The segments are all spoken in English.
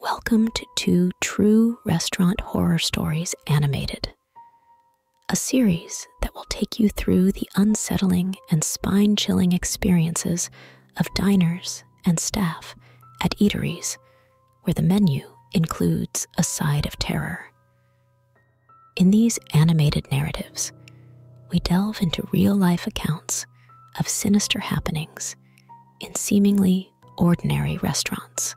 Welcome to True Restaurant Horror Stories Animated, a series that will take you through the unsettling and spine chilling experiences of diners and staff at eateries where the menu includes a side of terror. In these animated narratives, we delve into real life accounts of sinister happenings in seemingly ordinary restaurants,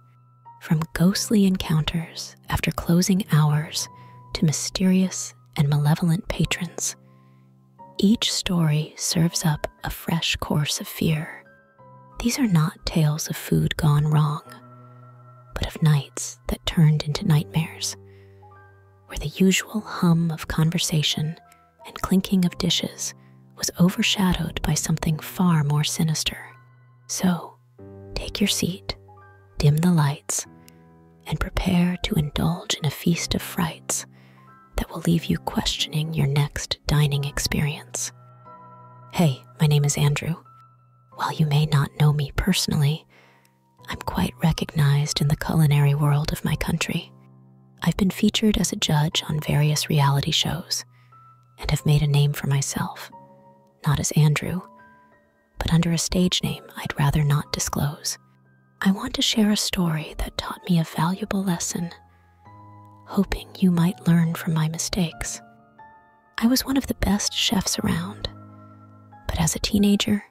from ghostly encounters after closing hours to mysterious and malevolent patrons. Each story serves up a fresh course of fear. These are not tales of food gone wrong, but of nights that turned into nightmares, where the usual hum of conversation and clinking of dishes was overshadowed by something far more sinister. So, take your seat, dim the lights, and prepare to indulge in a feast of frights that will leave you questioning your next dining experience. Hey, my name is Andrew. While you may not know me personally, I'm quite recognized in the culinary world of my country. I've been featured as a judge on various reality shows, and have made a name for myself, not as Andrew, but under a stage name I'd rather not disclose. I want to share a story that taught me a valuable lesson, hoping you might learn from my mistakes. I was one of the best chefs around, but as a teenager,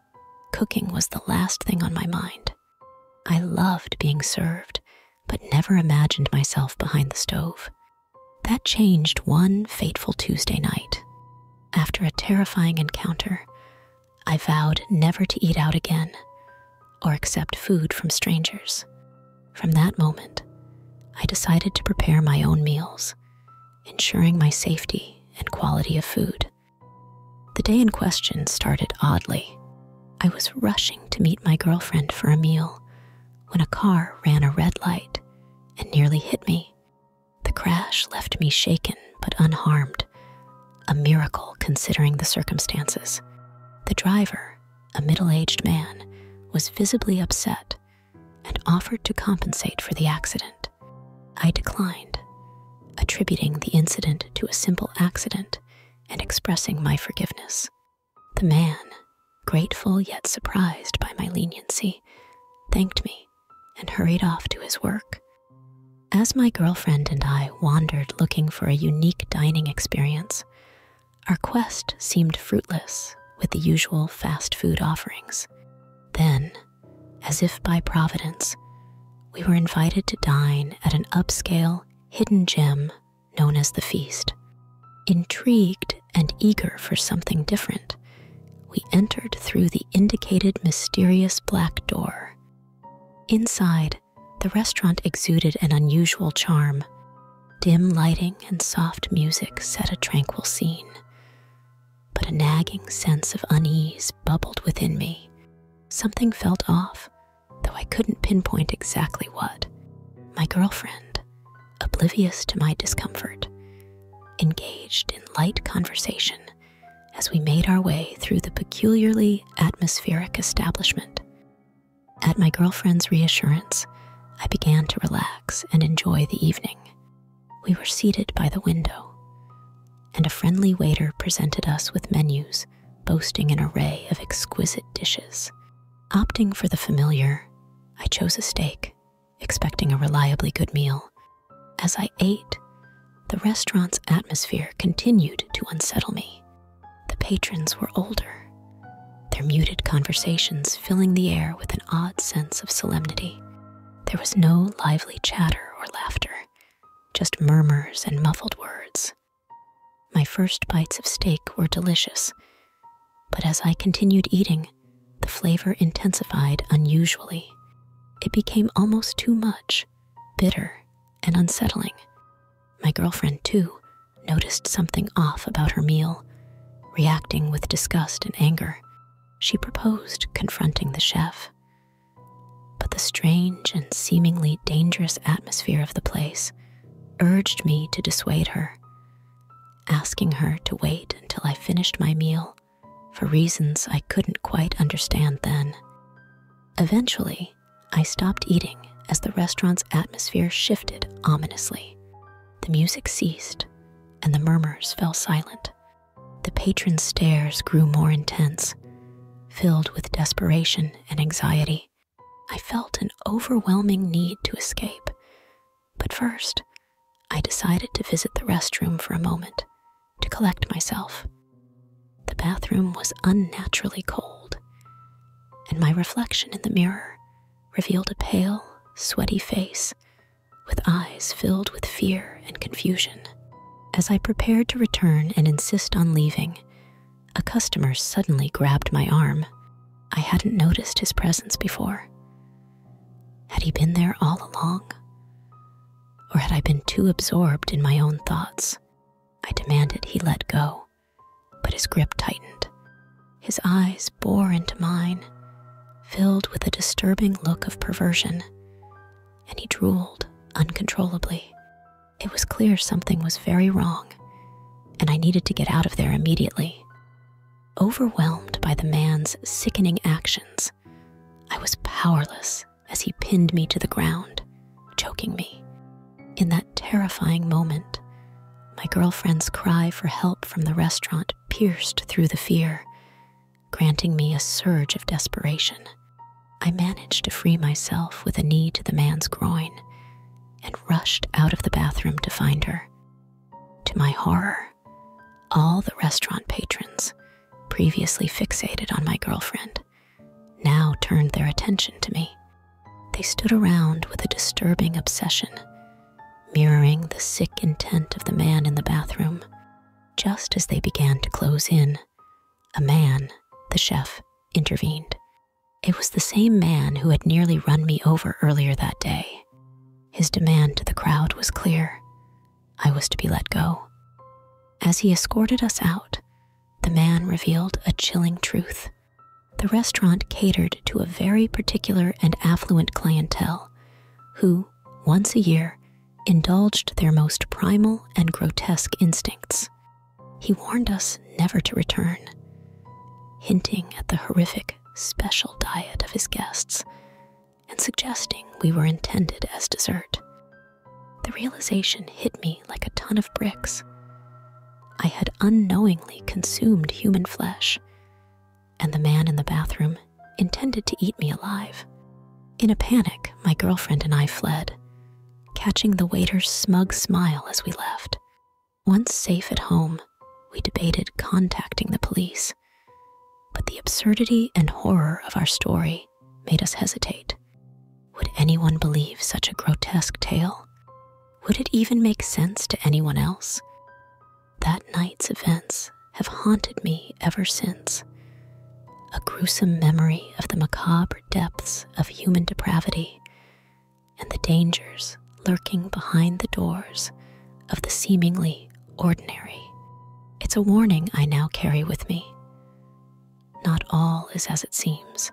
cooking was the last thing on my mind. I loved being served but never imagined myself behind the stove. That changed one fateful Tuesday night. After a terrifying encounter, I vowed never to eat out again or accept food from strangers. From that moment, I decided to prepare my own meals, ensuring my safety and quality of food. The day in question started oddly. I was rushing to meet my girlfriend for a meal when a car ran a red light and nearly hit me. The crash left me shaken but unharmed, a miracle considering the circumstances. The driver, a middle aged man, was visibly upset and offered to compensate for the accident. I declined, attributing the incident to a simple accident and expressing my forgiveness. The man, grateful yet surprised by my leniency, thanked me and hurried off to his work. As my girlfriend and I wandered looking for a unique dining experience, our quest seemed fruitless with the usual fast food offerings. Then, as if by providence, we were invited to dine at an upscale, hidden gem known as the feast. Intrigued and eager for something different, we entered through the indicated mysterious black door. Inside, the restaurant exuded an unusual charm. Dim lighting and soft music set a tranquil scene. But a nagging sense of unease bubbled within me. Something felt off, though I couldn't pinpoint exactly what. My girlfriend, oblivious to my discomfort, engaged in light conversation as we made our way through the peculiarly atmospheric establishment. At my girlfriend's reassurance, I began to relax and enjoy the evening. We were seated by the window, and a friendly waiter presented us with menus boasting an array of exquisite dishes. Opting for the familiar, I chose a steak, expecting a reliably good meal. As I ate, the restaurant's atmosphere continued to unsettle me. The patrons were older, their muted conversations filling the air with an odd sense of solemnity. There was no lively chatter or laughter, just murmurs and muffled words. My first bites of steak were delicious, but as I continued eating, the flavor intensified unusually. It became almost too much, bitter, and unsettling. My girlfriend, too, noticed something off about her meal, reacting with disgust and anger. She proposed confronting the chef. But the strange and seemingly dangerous atmosphere of the place urged me to dissuade her, asking her to wait until I finished my meal for reasons I couldn't quite understand then. Eventually, I stopped eating as the restaurant's atmosphere shifted ominously. The music ceased, and the murmurs fell silent. The patron's stares grew more intense, filled with desperation and anxiety. I felt an overwhelming need to escape. But first, I decided to visit the restroom for a moment to collect myself. The bathroom was unnaturally cold, and my reflection in the mirror revealed a pale, sweaty face with eyes filled with fear and confusion. As I prepared to return and insist on leaving, a customer suddenly grabbed my arm. I hadn't noticed his presence before. Had he been there all along? Or had I been too absorbed in my own thoughts? I demanded he let go, but his grip tightened. His eyes bore into mine, filled with a disturbing look of perversion, and he drooled uncontrollably. It was clear something was very wrong, and I needed to get out of there immediately. Overwhelmed by the man's sickening actions, I was powerless as he pinned me to the ground, choking me. In that terrifying moment, my girlfriend's cry for help from the restaurant pierced through the fear, granting me a surge of desperation. I managed to free myself with a knee to the man's groin and rushed out of the bathroom to find her. To my horror, all the restaurant patrons, previously fixated on my girlfriend, now turned their attention to me. They stood around with a disturbing obsession, mirroring the sick intent of the man in the bathroom. Just as they began to close in, a man, the chef, intervened. It was the same man who had nearly run me over earlier that day. His demand to the crowd was clear I was to be let go. As he escorted us out, the man revealed a chilling truth. The restaurant catered to a very particular and affluent clientele who, once a year, indulged their most primal and grotesque instincts. He warned us never to return, hinting at the horrific special diet of his guests and suggesting we were intended as dessert. The realization hit me like a ton of bricks. I had unknowingly consumed human flesh, and the man in the bathroom intended to eat me alive. In a panic, my girlfriend and I fled, catching the waiter's smug smile as we left. Once safe at home, we debated contacting the police, but the absurdity and horror of our story made us hesitate. Would anyone believe such a grotesque tale? Would it even make sense to anyone else? That night's events have haunted me ever since. A gruesome memory of the macabre depths of human depravity, and the dangers lurking behind the doors of the seemingly ordinary. It's a warning I now carry with me. Not all is as it seems,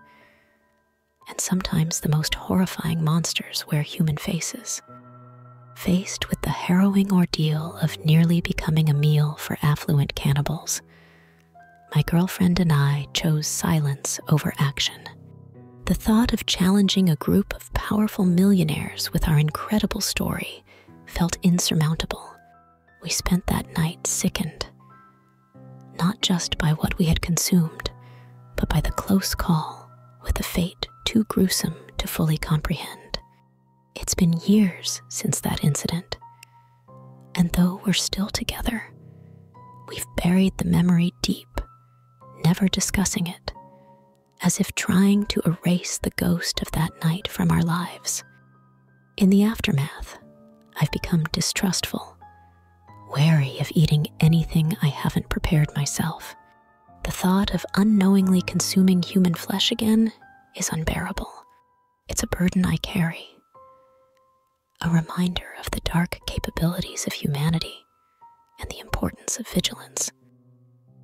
and sometimes the most horrifying monsters wear human faces. Faced with the harrowing ordeal of nearly becoming a meal for affluent cannibals, my girlfriend and I chose silence over action. The thought of challenging a group of powerful millionaires with our incredible story felt insurmountable. We spent that night sickened, not just by what we had consumed, but by the close call with a fate too gruesome to fully comprehend. It's been years since that incident. And though we're still together, we've buried the memory deep never discussing it, as if trying to erase the ghost of that night from our lives. In the aftermath, I've become distrustful, wary of eating anything I haven't prepared myself. The thought of unknowingly consuming human flesh again is unbearable. It's a burden I carry, a reminder of the dark capabilities of humanity and the importance of vigilance.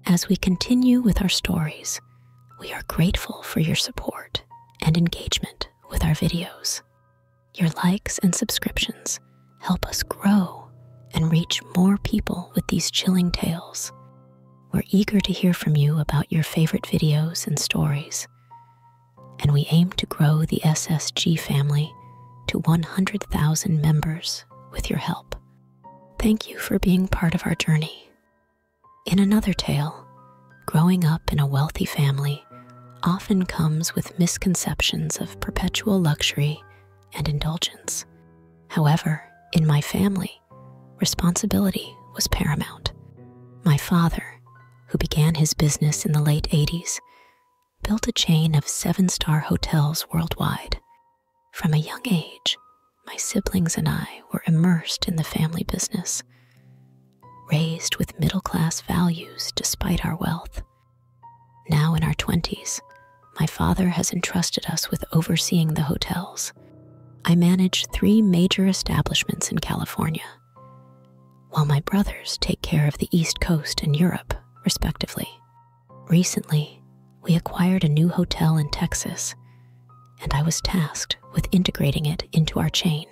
As we continue with our stories, we are grateful for your support and engagement with our videos. Your likes and subscriptions help us grow and reach more people with these chilling tales. We're eager to hear from you about your favorite videos and stories, and we aim to grow the SSG family to 100,000 members with your help. Thank you for being part of our journey. In another tale, growing up in a wealthy family often comes with misconceptions of perpetual luxury and indulgence. However, in my family, responsibility was paramount. My father, who began his business in the late 80s, built a chain of seven star hotels worldwide. From a young age, my siblings and I were immersed in the family business, raised with middle class values despite our wealth. Now in our 20s, my father has entrusted us with overseeing the hotels. I manage three major establishments in California, while my brothers take care of the East Coast and Europe, respectively. Recently, we acquired a new hotel in Texas, and I was tasked with integrating it into our chain.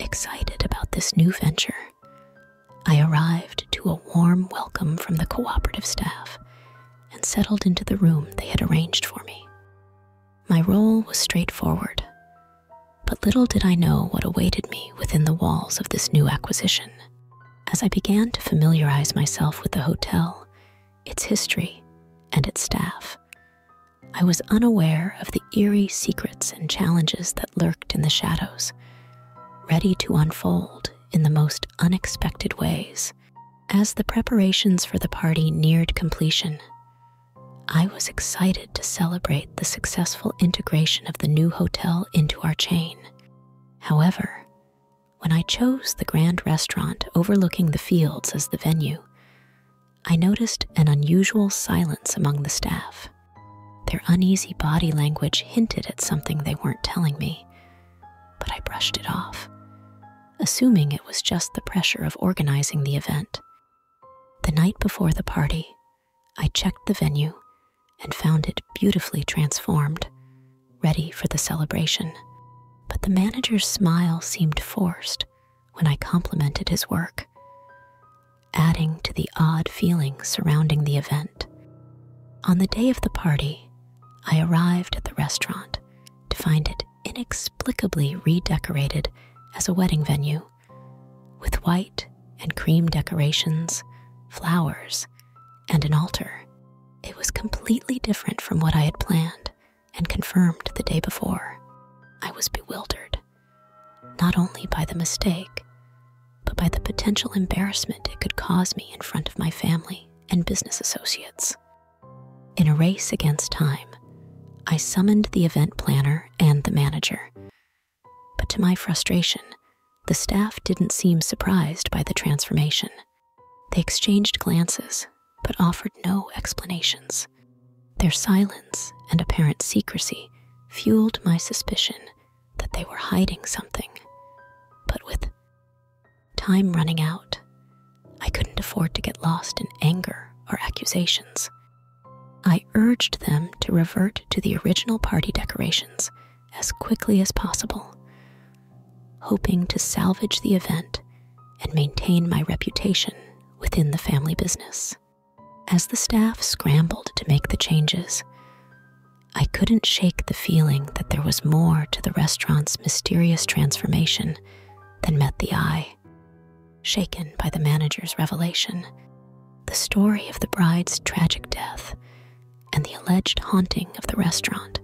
Excited about this new venture, I arrived to a warm welcome from the cooperative staff and settled into the room they had arranged for me. My role was straightforward, but little did I know what awaited me within the walls of this new acquisition. As I began to familiarize myself with the hotel, its history, and its staff, I was unaware of the eerie secrets and challenges that lurked in the shadows, ready to unfold in the most unexpected ways. As the preparations for the party neared completion, I was excited to celebrate the successful integration of the new hotel into our chain. However, when I chose the grand restaurant overlooking the fields as the venue, I noticed an unusual silence among the staff. Their uneasy body language hinted at something they weren't telling me, but I brushed it off, assuming it was just the pressure of organizing the event. The night before the party, I checked the venue and found it beautifully transformed, ready for the celebration. But the manager's smile seemed forced when I complimented his work, adding to the odd feeling surrounding the event. On the day of the party, I arrived at the restaurant to find it inexplicably redecorated as a wedding venue, with white and cream decorations, flowers, and an altar. It was completely different from what I had planned and confirmed the day before. I was bewildered, not only by the mistake, but by the potential embarrassment it could cause me in front of my family and business associates. In a race against time, I summoned the event planner and the manager. But to my frustration, the staff didn't seem surprised by the transformation. They exchanged glances, but offered no explanations. Their silence and apparent secrecy fueled my suspicion that they were hiding something. But with time running out, I couldn't afford to get lost in anger or accusations. I urged them to revert to the original party decorations as quickly as possible, hoping to salvage the event and maintain my reputation within the family business. As the staff scrambled to make the changes, I couldn't shake the feeling that there was more to the restaurant's mysterious transformation than met the eye. Shaken by the manager's revelation, the story of the bride's tragic death and the alleged haunting of the restaurant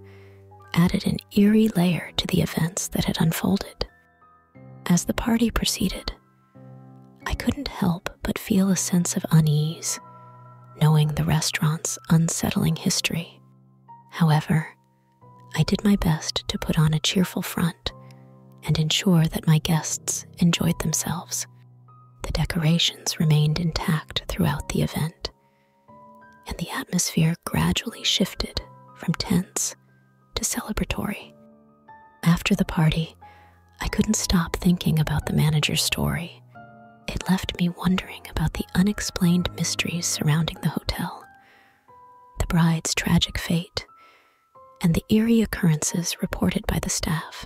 added an eerie layer to the events that had unfolded. As the party proceeded, I couldn't help but feel a sense of unease, knowing the restaurant's unsettling history. However, I did my best to put on a cheerful front and ensure that my guests enjoyed themselves. The decorations remained intact throughout the event, and the atmosphere gradually shifted from tense to celebratory. After the party, I couldn't stop thinking about the manager's story. It left me wondering about the unexplained mysteries surrounding the hotel, the bride's tragic fate, and the eerie occurrences reported by the staff.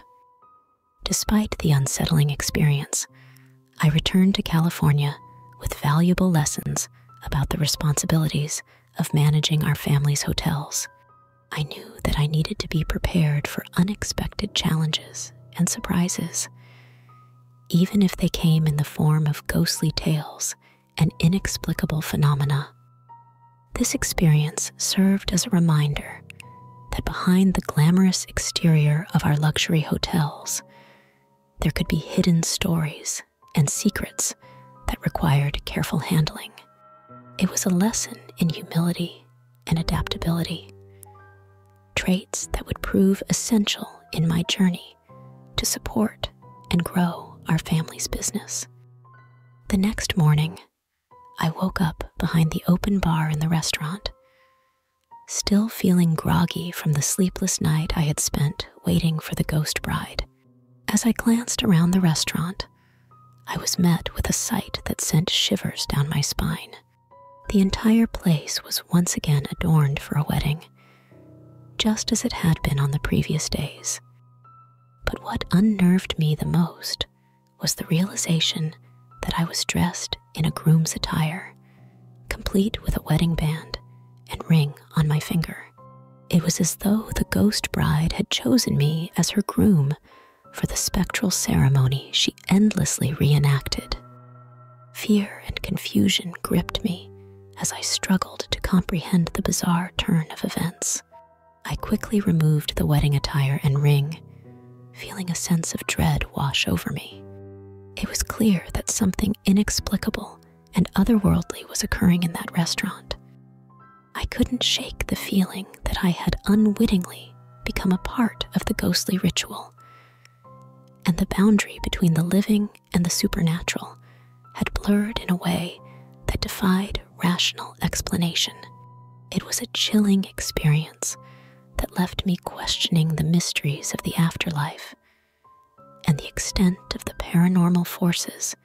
Despite the unsettling experience, I returned to California with valuable lessons about the responsibilities of managing our family's hotels. I knew that I needed to be prepared for unexpected challenges and surprises, even if they came in the form of ghostly tales and inexplicable phenomena. This experience served as a reminder that behind the glamorous exterior of our luxury hotels, there could be hidden stories and secrets that required careful handling. It was a lesson in humility and adaptability, traits that would prove essential in my journey to support and grow our family's business. The next morning, I woke up behind the open bar in the restaurant, still feeling groggy from the sleepless night I had spent waiting for the ghost bride. As I glanced around the restaurant, I was met with a sight that sent shivers down my spine. The entire place was once again adorned for a wedding, just as it had been on the previous days. But what unnerved me the most was the realization that I was dressed in a groom's attire complete with a wedding band and ring on my finger. It was as though the ghost bride had chosen me as her groom for the spectral ceremony she endlessly reenacted. Fear and confusion gripped me as I struggled to comprehend the bizarre turn of events. I quickly removed the wedding attire and ring, feeling a sense of dread wash over me. It was clear that something inexplicable and otherworldly was occurring in that restaurant. I couldn't shake the feeling that I had unwittingly become a part of the ghostly ritual, and the boundary between the living and the supernatural had blurred in a way that defied rational explanation. It was a chilling experience that left me questioning the mysteries of the afterlife and the extent of the paranormal forces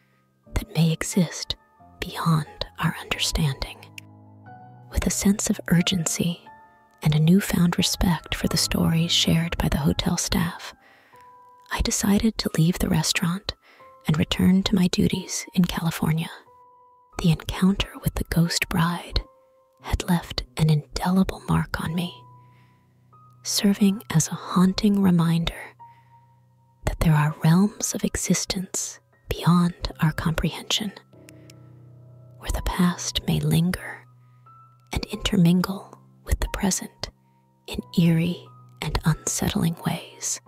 that may exist beyond our understanding. With a sense of urgency and a newfound respect for the stories shared by the hotel staff, I decided to leave the restaurant and return to my duties in California. The encounter with the ghost bride had left an indelible mark on me, serving as a haunting reminder that there are realms of existence beyond our comprehension, where the past may linger and intermingle with the present in eerie and unsettling ways.